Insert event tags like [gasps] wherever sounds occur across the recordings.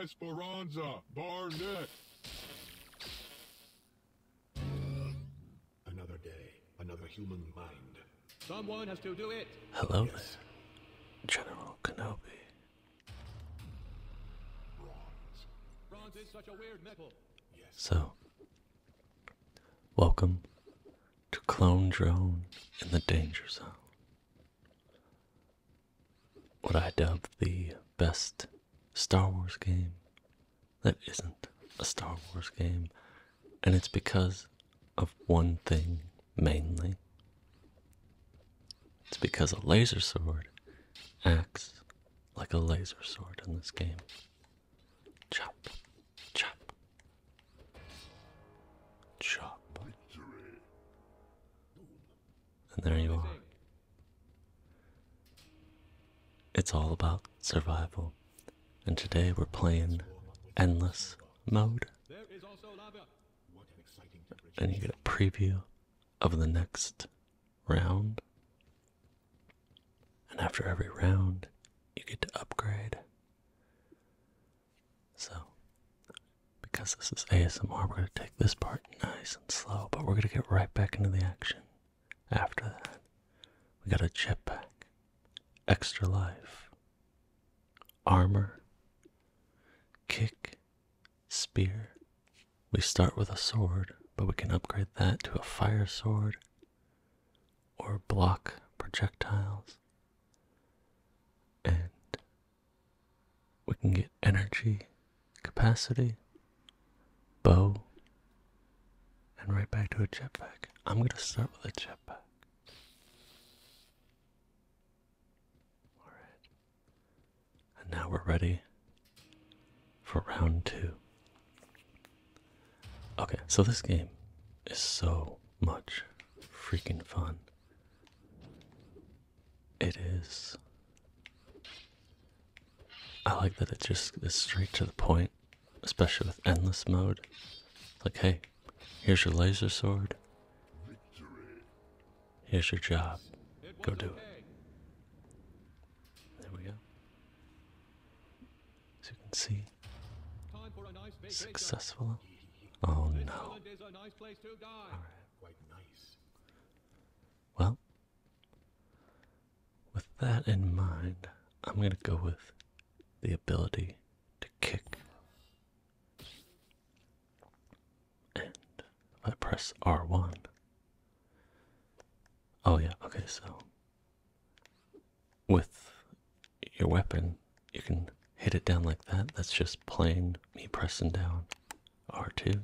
Esperanza Barnett. Another day, another human mind. Someone has to do it. Hello General Kenobi. Bronze is such a weird metal. Yes. So, welcome to Clone Drone in the Danger Zone what I dub the best Star Wars game that isn't a Star Wars game, and it's because of one thing mainly. It's because a laser sword acts like a laser sword in this game. Chop, chop, chop. And there you are. It's all about survival. And today we're playing Endless Mode. And you get a preview of the next round. And after every round, you get to upgrade. So, because this is ASMR, we're going to take this part nice and slow, but we're going to get right back into the action. After that, we got a chip pack, extra life, armor, kick, spear. We start with a sword, but we can upgrade that to a fire sword or block projectiles. And we can get energy, capacity, bow, and right back to a jetpack. I'm going to start with a jetpack. Alright. And now we're ready for round two. Okay, so this game is so much freaking fun. It is. I like that it just is straight to the point, especially with endless mode. Like, hey, here's your laser sword. Here's your job. Go do it. There we go. As you can see, successful. Oh no quite nice. Well, with that in mind, I'm going to go with the ability to kick. And I press R1. Oh, yeah, okay, so with your weapon, you can hit it down like that. That's just plain me pressing down R2.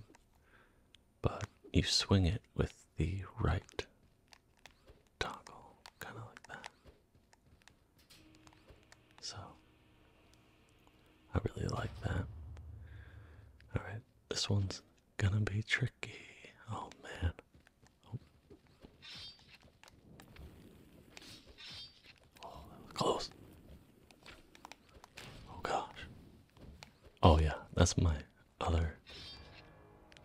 But you swing it with the right toggle, kind of like that. So, I really like that. Alright, this one's gonna be tricky. Oh man. Oh, that was close. Oh gosh. Oh yeah, that's my other.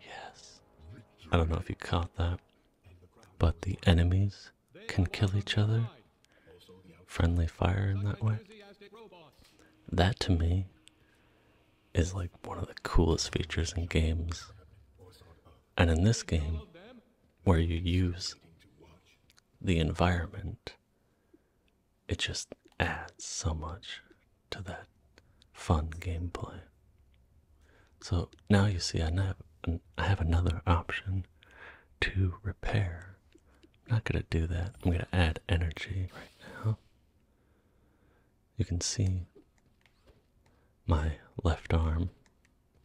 Yes. I don't know if you caught that, but the enemies can kill each other. Friendly fire in that way. That to me is like one of the coolest features in games. And in this game, where you use the environment, it just adds so much to that fun gameplay. So now you see, I have, I have another option to repair. I'm not going to do that. I'm going to add energy right now. You can see my left arm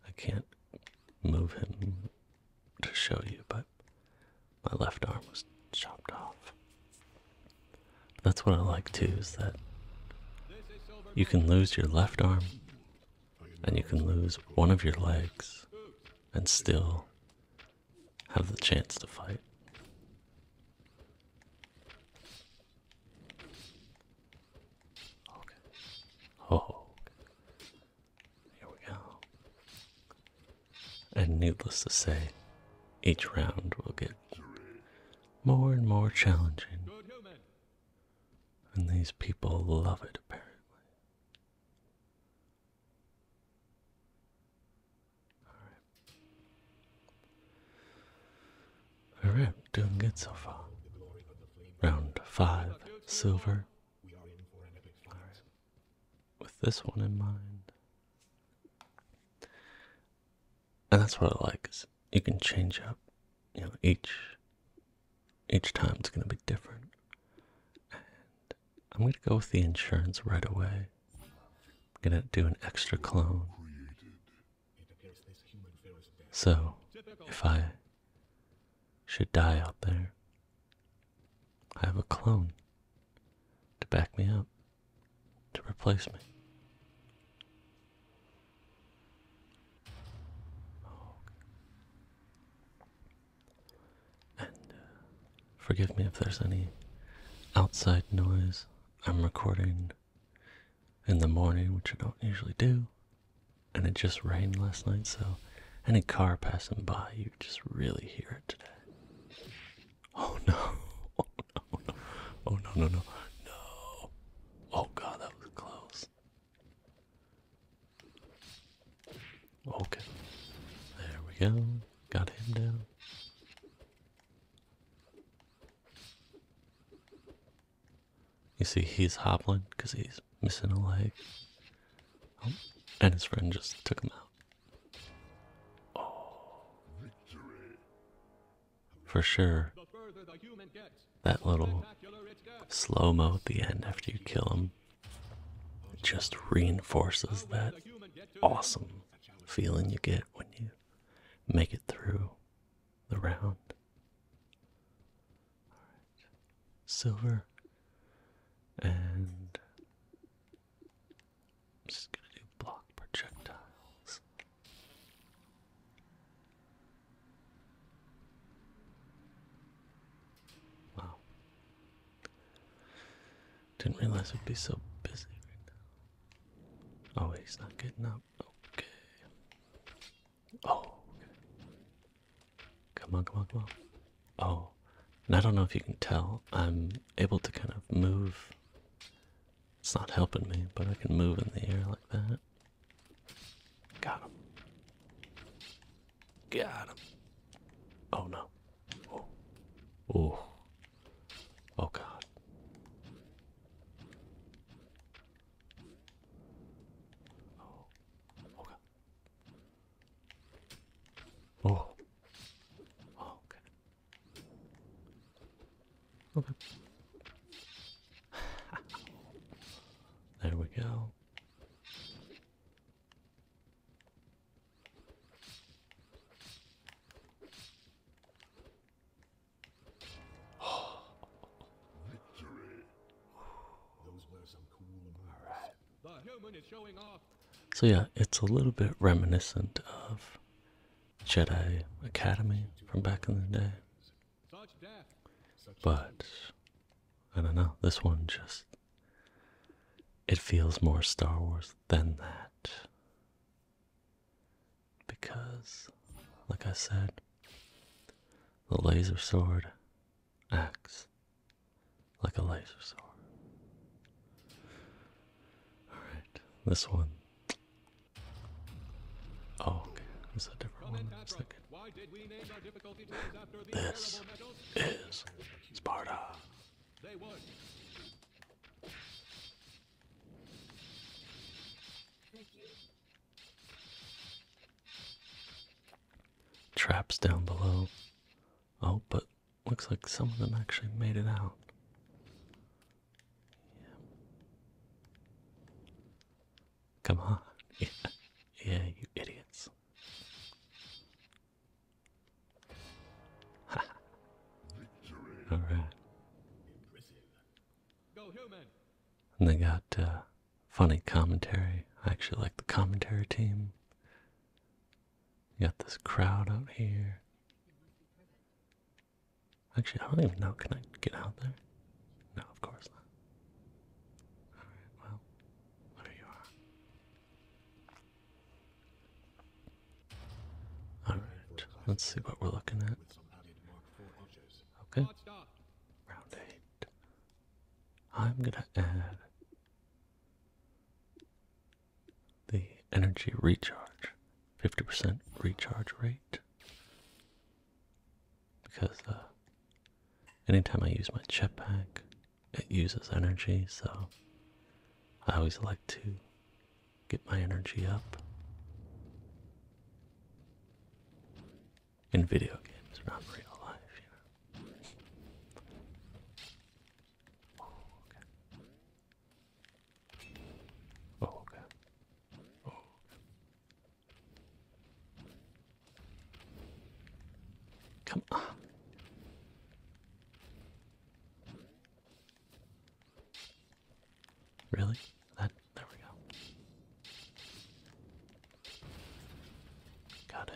I can't move him to show you, but my left arm was chopped off. that's what I like too, is that you can lose your left arm and you can lose one of your legs and still have the chance to fight. Oh, here we go. And needless to say, each round will get more and more challenging. And these people love it, apparently. Alright, All right, doing good so far. Round 5, silver, with this one in mind. And that's what I like is you can change up. You know, each each time it's gonna be different. And I'm gonna go with the insurance right away. I'm gonna do an extra clone. So if I should die out there, I have a clone to back me up, to replace me. Oh. And uh, forgive me if there's any outside noise. I'm recording in the morning, which I don't usually do and it just rained last night, so any car passing by, you just really hear it today. Oh no! [laughs] Oh no! Oh, no. Oh No! No! No! Oh god, that was close. Okay, there we go. Got him down. You see, he's hobbling because he's missing a leg. Oh, and his friend just took him out. Oh, for sure. That little slow mo at the end after you kill him just reinforces that awesome feeling you get when you make it through the round. Silver and just gonna do block projectiles. Wow. Didn't realize we'd be so busy right now. Oh, wait, he's not getting up. Okay. Oh, Come on, come on, come on. Oh, and I don't know if you can tell, I'm able to kind of move. It's not helping me, but I can move in the air like that. Got him. Got him. Oh no. Oh. Oh. god. Oh, oh god. Oh. oh. okay. Okay. [sighs] there we go. [gasps] Victory. So yeah, it's a little bit reminiscent of Jedi Academy from back in the day. But I don't know, this one just it feels more Star Wars than that. Because like I said, the laser sword acts like a laser sword. Alright, this one. Oh, okay. This a different one. I was thinking. This is Sparta. They would. Traps down below. Oh, but looks like some of them actually made it out. Come on. [laughs] Yeah. you idiots. [laughs] Alright. And they got uh, funny commentary. I actually like the commentary team. You got this crowd out here. Actually, I don't even know. Can I get out there? No, of course not. Alright, well, there you are. Alright, let's see what we're looking at. Okay. Round 8. I'm going to add the energy recharge, 50% recharge rate. Because uh, anytime I use my jetpack, it uses energy, so I always like to get my energy up in video games, not real life, you know. Oh, okay. Oh, okay. Oh, Come on. Really? That there we go. Got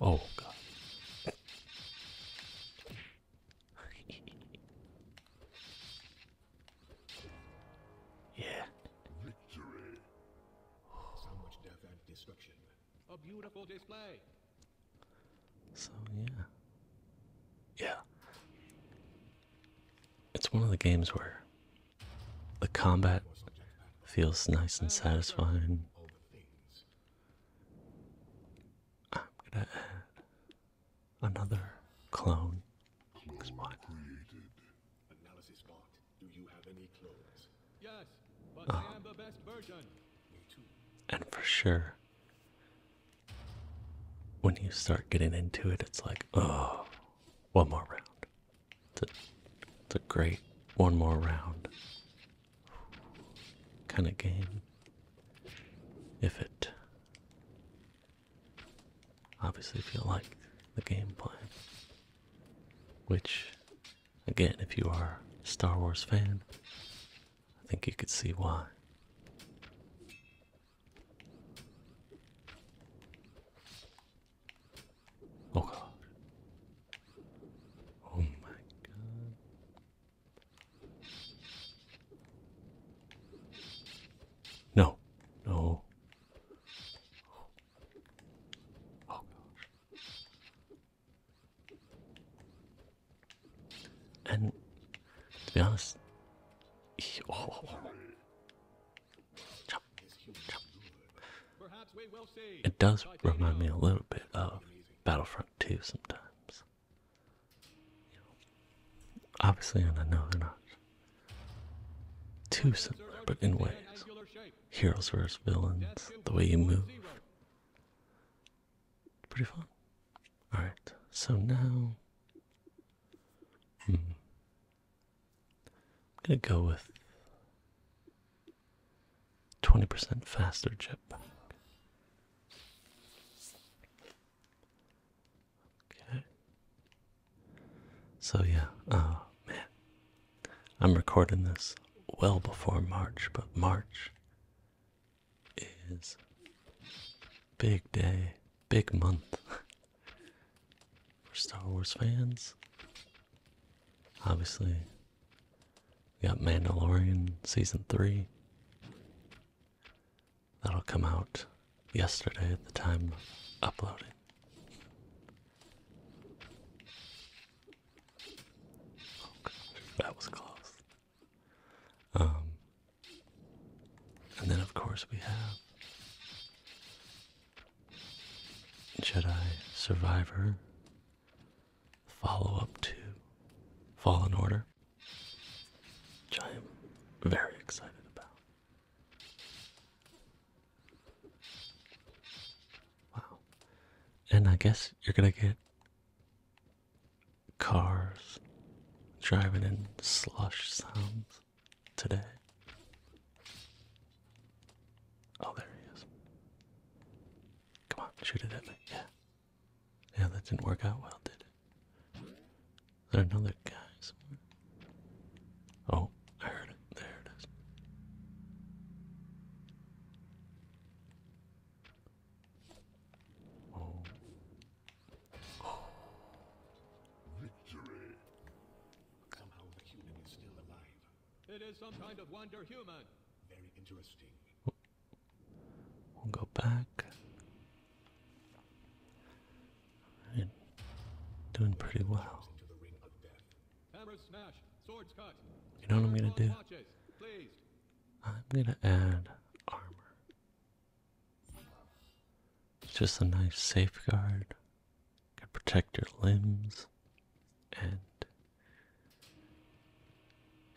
Oh god. [laughs] yeah. A beautiful display. So yeah. Yeah. It's one of the games where the combat feels nice and satisfying. I'm gonna add another clone. Oh. And for sure, when you start getting into it, it's like, oh, one more round. It's a, great one more round kind of game. If it obviously if you like the game gameplay, which again, if you are a Star Wars fan, I think you could see why. Oh god. Oh my god. No. No. Oh, and to be honest, oh, oh, oh. It does remind me a little bit of Battlefront 2 sometimes. obviously, and I know they're not too similar, but in ways. Heroes versus villains, the way you move, pretty fun. All right, so now hmm. I'm gonna go with twenty percent faster chip. Okay. So yeah, oh man, I'm recording this well before March, but March is big day, big month for Star Wars fans. Obviously, we got Mandalorian season three. That'll come out yesterday at the time of uploading. Oh, that was close. Um, and then, of course, we have Jedi Survivor, follow up to Fallen Order, which I am very excited about. Wow. And I guess you're going to get cars driving in slush sounds today. Oh, there he is. Come on, shoot it at me. Yeah. Yeah, that didn't work out well, did it? Is there another guy somewhere? Oh, I heard it. There it is. Oh. Victory. Somehow the human is still alive. It is some kind of wonder human. Very interesting. We'll go back. Doing pretty well. You know what I'm gonna do? I'm gonna add armor it's just a nice safeguard. Could protect your limbs and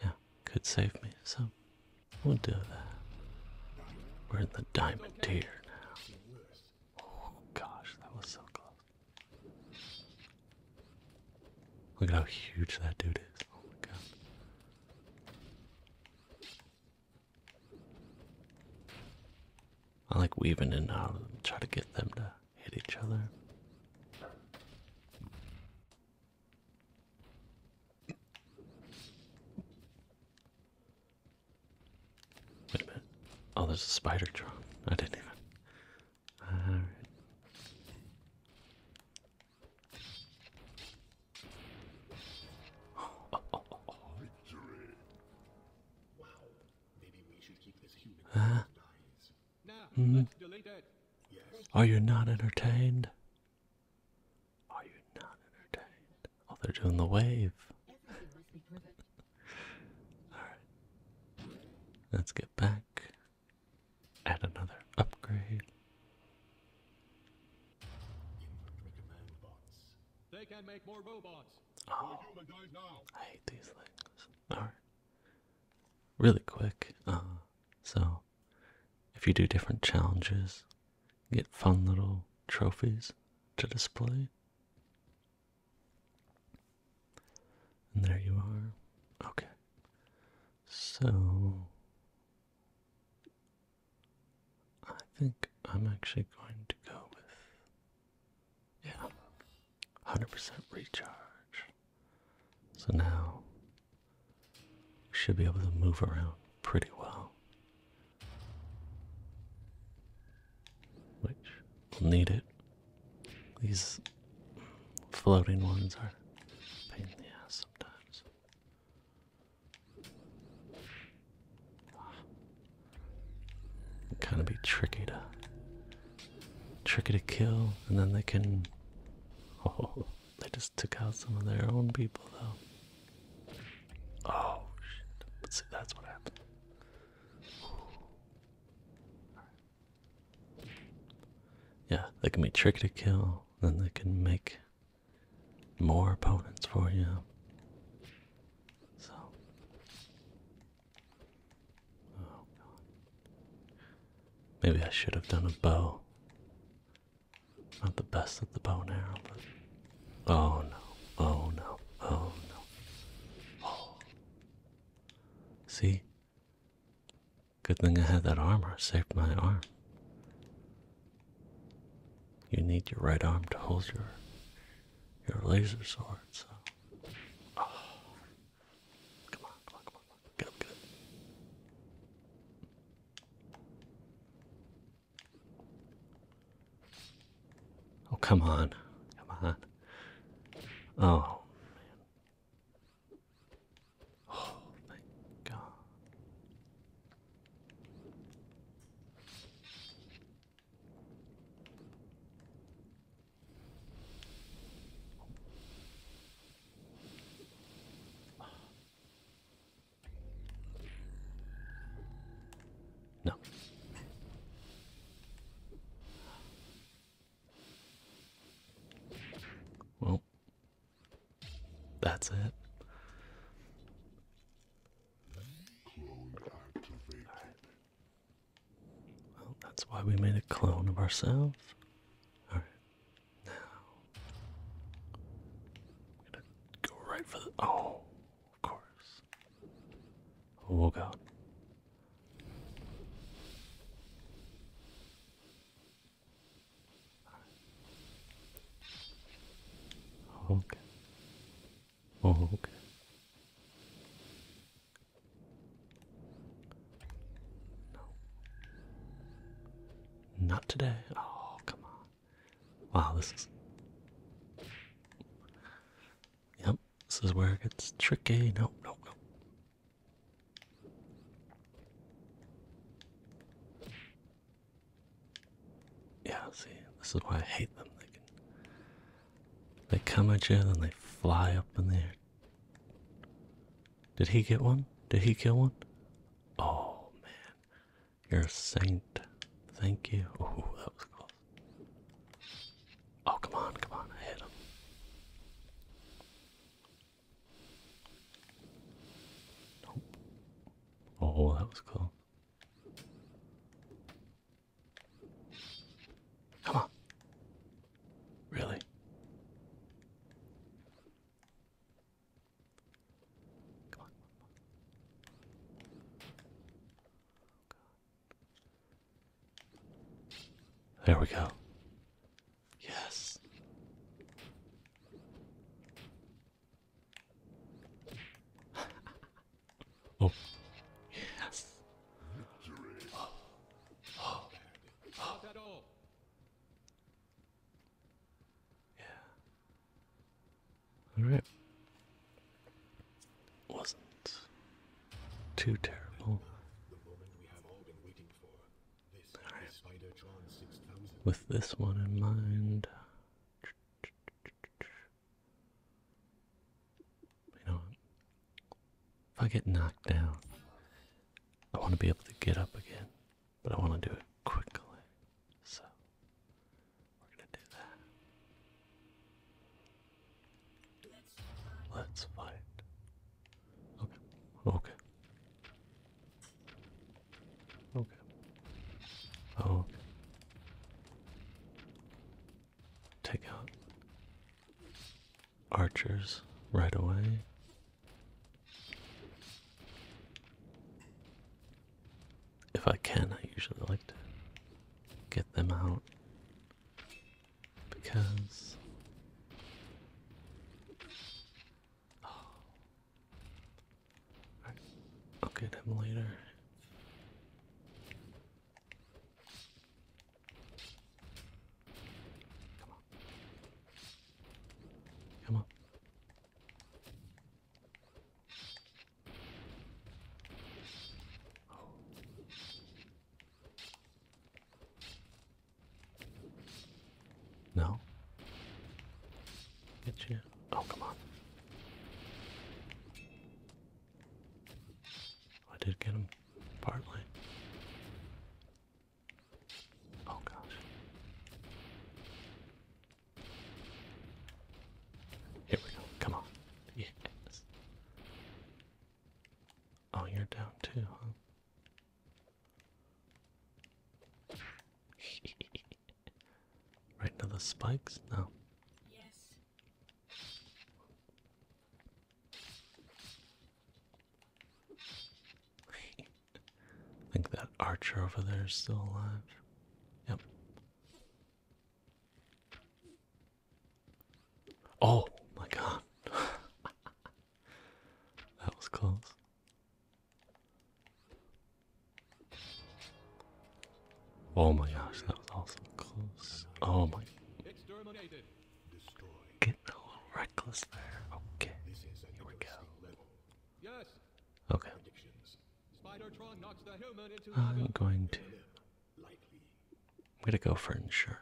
yeah, could save me. So we'll do that. We're in the diamond tier now. Oh gosh, that was so close. Look at how huge that dude is. Oh my god. I like weaving in and out uh, of try to get them to hit each other. Wait a minute. Oh, there's a spider drone. I didn't even. Alright. Hmm? Are you not entertained? Are you not entertained? Oh, they're doing the wave. Alright. Let's get back. And another upgrade. They can make more robots. Oh, I hate these things. Alright. Really quick. Uh, so, if you do different challenges, get fun little trophies to display. And there you are. Okay. So, I think I'm actually going to go with, yeah, 100% recharge. So now we should be able to move around pretty well, which will need it. These floating ones are pain in the ass sometimes kind of be tricky to tricky to kill, and then they can. [laughs] Oh, they just took out some of their own people, though. Oh shit! But see, that's what happened. Yeah, they can be tricky to kill then they can make more opponents for you. So, oh, maybe I should have done a bow. Not the best at the bow and arrow, but oh no, oh no, oh no. Oh. See, Good thing I had that armor. Saved my arm. You need your right arm to hold your your laser sword. So, oh. come on, come on, come on, get up, Oh, come on, come on. Oh, man. Oh, thank God. No. Well, that's it. Well, that's why we made a clone of ourselves. Alright, now. gonna go right for the. Oh, of course. Oh, God. Okay. Oh, okay. No. Not today. Oh, come on. Wow, this is. Yep, this is where it gets tricky. No, no, no. Yeah, see, this is why I hate them. They can they come at you, and they fly up in the air. Did he get one? Did he kill one? Oh man, you're a saint. Thank you. Ooh, that was close. Oh, come on, come on, I hit him. Oh, that was cool. Come on. Really? Come on. There we go. Yes. [laughs] oh. Yes. Yeah. All right. Wasn't too terrible. With this one in mind. You know, if I get knocked down, I want to be able to get up again, but I want to do it quickly. So, we're going to do that. Let's fight. Okay. Okay. Okay. Okay. Take out archers right away. If I can, I usually like to get them out because I'll get him later. Come on. Come on. No? Get you? Oh, come on. I did get him partly. Oh, gosh. Here we go. Come on. Yes. Oh, you're down too, huh? [laughs] right now the spikes? No. Yes. I [laughs] think that archer over there is still alive. Yep. Oh my god. [laughs] that was close. Oh my gosh, that was awesome. Close. Oh my. Getting a little reckless there. Okay. Here we go. Okay. I'm going to. I'm gonna go for insurance.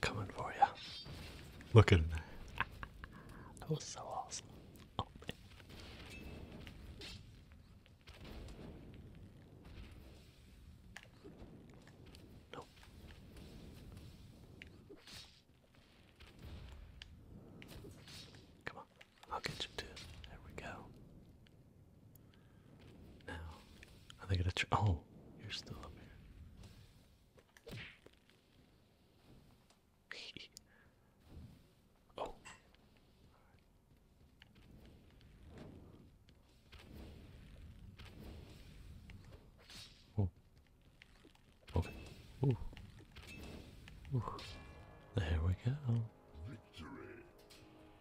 Coming for you. Look at him. That was so awesome. Oh, Come on, I'll get you too. There we go. Now, are they gonna try? Oh, you're still up here. [laughs] oh. Oh. Okay. Ooh. Ooh. There we go. Victory.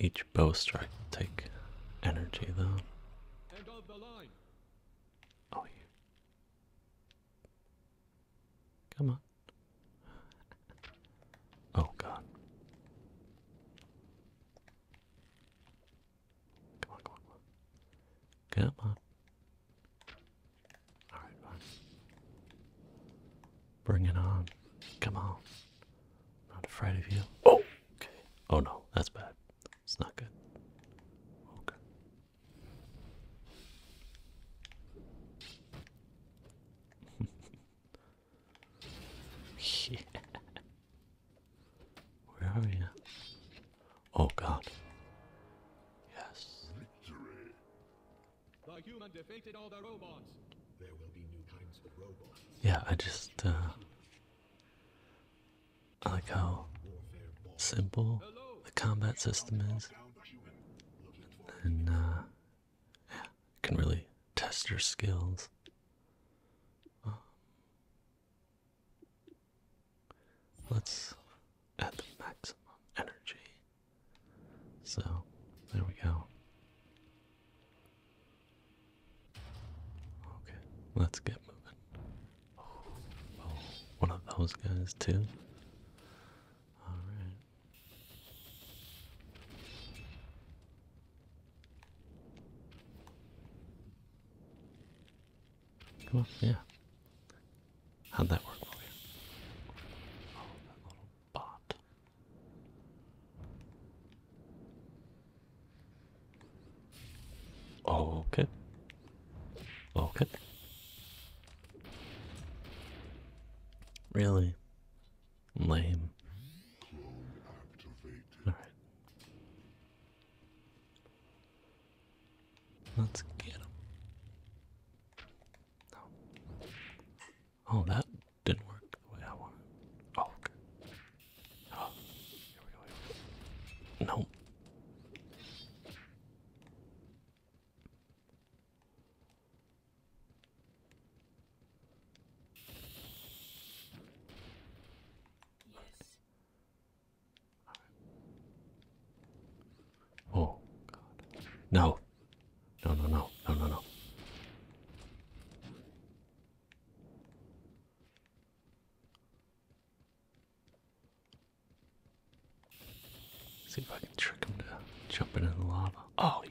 Each bow strike will take energy though. Oh you Come on. [laughs] Oh god. come on. Come on. Alright, Bring it on. Come on. Not afraid of you. Oh! Okay. Oh no, that's bad. It's not good. Okay. [laughs] yeah. Where are you? Oh god. Yes. The human defeated all the robots. There will be new kinds of robots. Yeah, I just uh, I like how simple the combat system is. And uh, yeah, can really test your skills. Um, let's add the maximum energy. So, there we go. Okay, let's get moving. Oh, one of those guys, too. Alright. Cool, yeah. How'd that work for you? Oh, that little bot. Okay. Okay. Really? Lame. Alright. Let's get him. Oh, oh. that didn't work the way I wanted. Oh, okay. Oh, here we go. Here Yes. Oh, God. No. No, no, no. No, no, See if I can trick him to jump into the lava. Oh, you.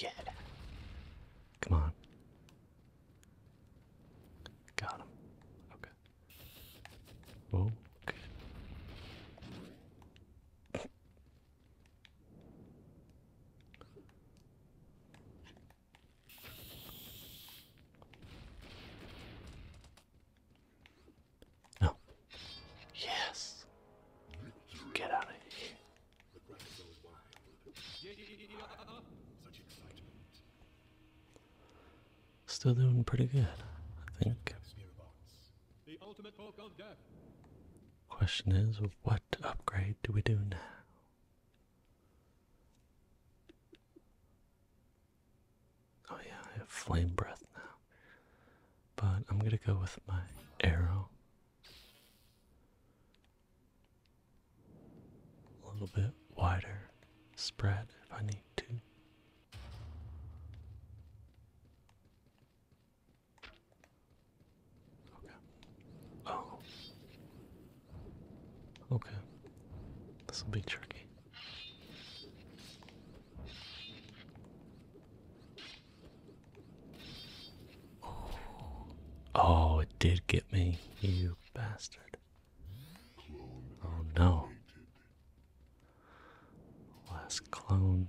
Yeah. Come on. Got him. Okay. Oh, okay. Oh. Yes. Get out of here. Still doing pretty good, I think. Question is, what upgrade do we do now? Oh, yeah, I have flame breath now. But I'm gonna go with my arrow. A little bit wider spread if I need to. Okay. Oh. Okay. This will be tricky. Oh, it did get me, you bastard. Oh no. Last clone.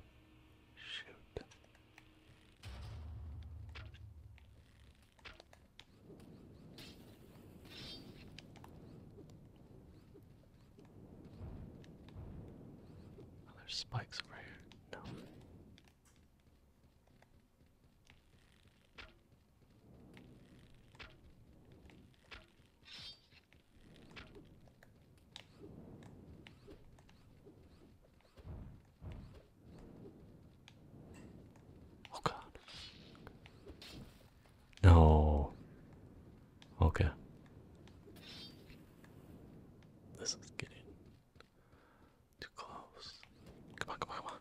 Shoot. Oh, there's spikes over here. No. Oh god. No. Okay. This is getting too close. Come on, come on, come on.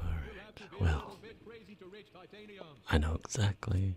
All right. Well, I know exactly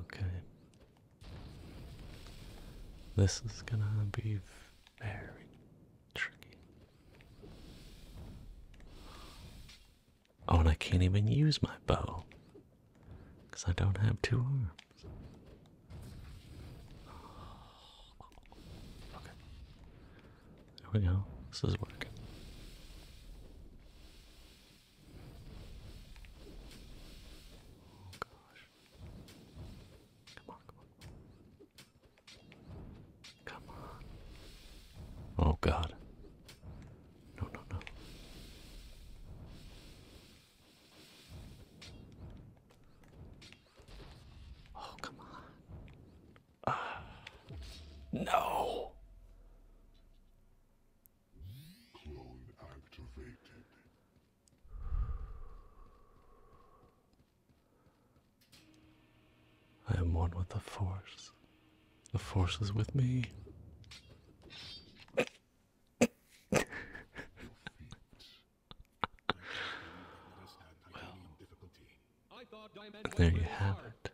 Okay. This is gonna be very tricky. Oh, and I can't even use my bow because I don't have two arms. [sighs] Okay. There we go. This is working. Oh gosh. Come on, come on. Come on. Oh god. No, no, no. Oh, come on. Uh, no. Clone activated. I am one with the Force. The Force is with me. there you have it.